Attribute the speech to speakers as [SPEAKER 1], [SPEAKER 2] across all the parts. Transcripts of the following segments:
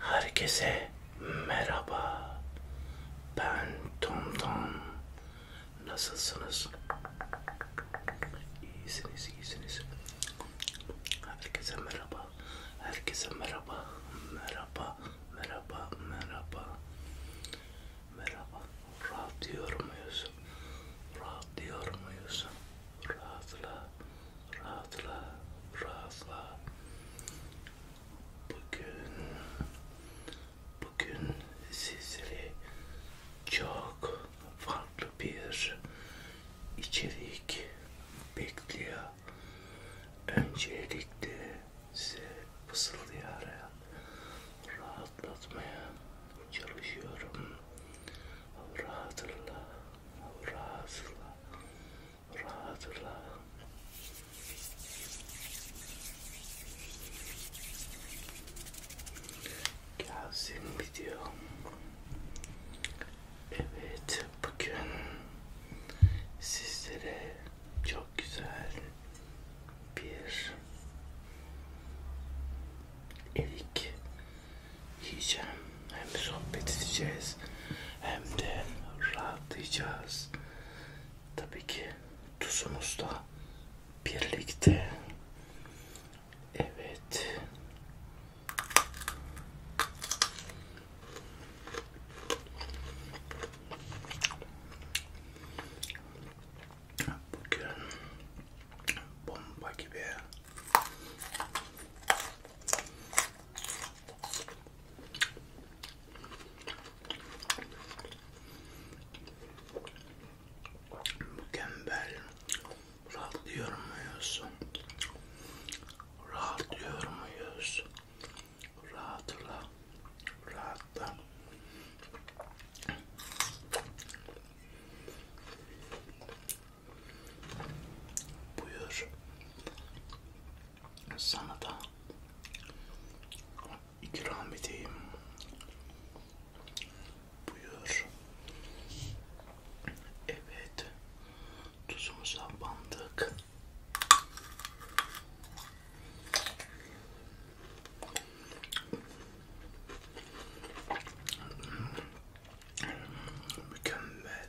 [SPEAKER 1] Herkese merhaba. Ben Tom Tom. Nasılsınız? İyisiniz, iyisiniz. Herkese merhaba. Herkese merhaba. Merhaba, merhaba, merhaba. Merhaba. Rahat diyor muyuz? Rahat diyor muyuz? Rahatla rahatla, rahatla. Bugün, bugün sizleri çok farklı bir içerik bekliyor. Öncelikle size fısıldayarak rahatlatmaya çalışıyorum. Rahatla, rahatla, rahatla. Gelsin video. Evet bugün sizlere çok güzel bir erik yiyeceğim. Hem sohbet edeceğiz hem de rahatlayacağız. Tabii ki tuzumuzla birlikte. Evet. Bugün bomba gibi. Mükemmel. Rahatlıyor muyuz? Rahatlıyor muyuz? Rahatla. Rahatla. Buyur. Sana da ikram edeyim. Buyur. Evet. Tuzumuza bandık. Mükemmel.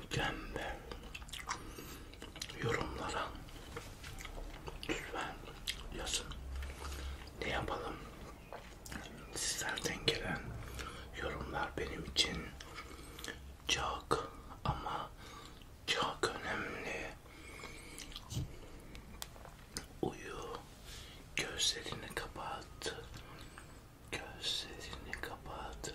[SPEAKER 1] mükemmel yorumlara lütfen yazın. Ne yapalım? Sizlerden gelen yorumlar benim için çok ama çok önemli. Uyu, gözlerini kapat, gözlerini kapat.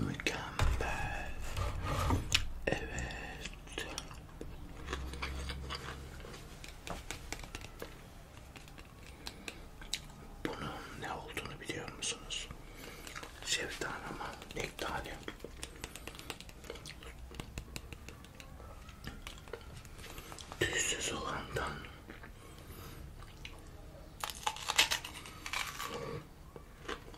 [SPEAKER 1] Mükemmel. Evet. Bunun ne olduğunu biliyor musunuz? Şeftali ama nektali. Tüzsüz olandan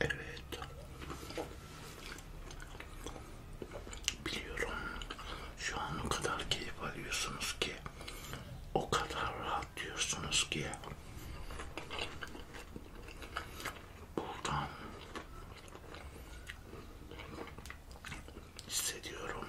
[SPEAKER 1] Evet. Biliyorum şu an o kadar keyif alıyorsunuz ki o kadar rahat diyorsunuz ki buradan hissediyorum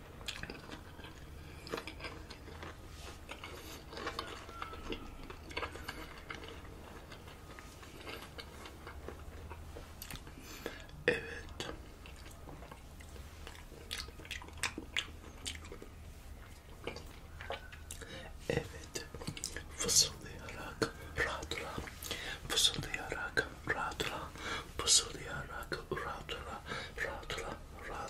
[SPEAKER 1] Evet. Evet. Fısıldayarak rahat rahat. Fısıldayarak rahat rahat. Fısıldayarak rahat rahat. Rahat rahat.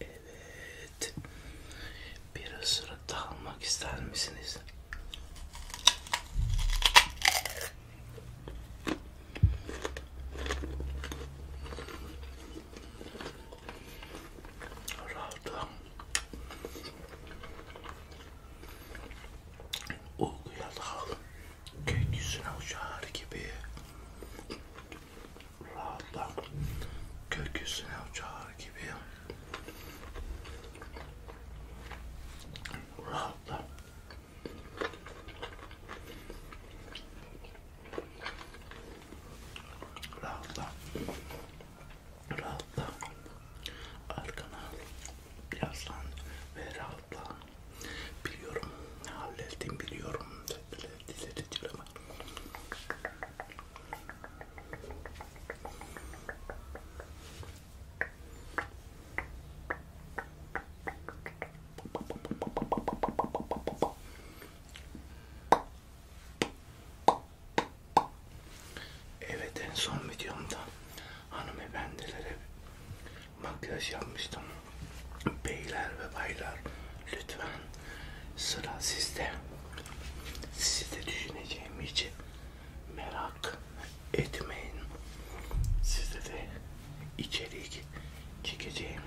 [SPEAKER 1] Evet. Bir ısırık da almak ister misiniz? Rahatım. O güya dal. Gökyüzüne uçar gibi rahatla gökyüzüne uçar gibi rahatla rahatla rahatla arkana yaslan ve rahatla biliyorum hallettim biliyorum dediler ama Evet en son videomda hanımefendilere makyaj yapmıştım. Beyler ve baylar lütfen Sıra sizde. Sizi de düşüneceğim için merak etmeyin. Size de içerik çekeceğim.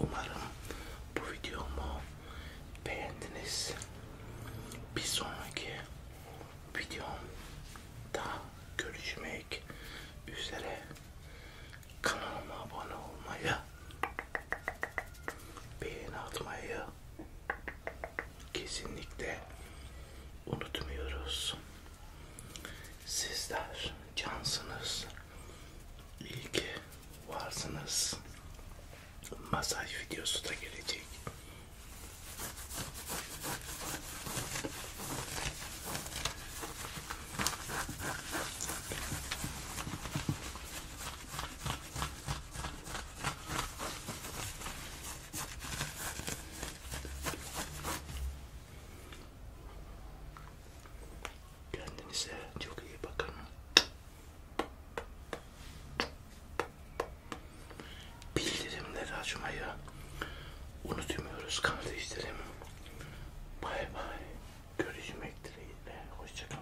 [SPEAKER 1] Umarım bu videomu beğendiniz. Bir sonraki videomda görüşmek üzere. Kanalıma abone olmayı beğeni atmayı kesinlikle unutmuyoruz. Sizler cansınız. İyi ki varsınız. Masaj videosu da gelecek. Kendinize çok iyi bakın. Bildirimleri açmayı unutmuyoruz kardeşlerim. Bay bay. Görüşmek dileğiyle. Hoşçakalın.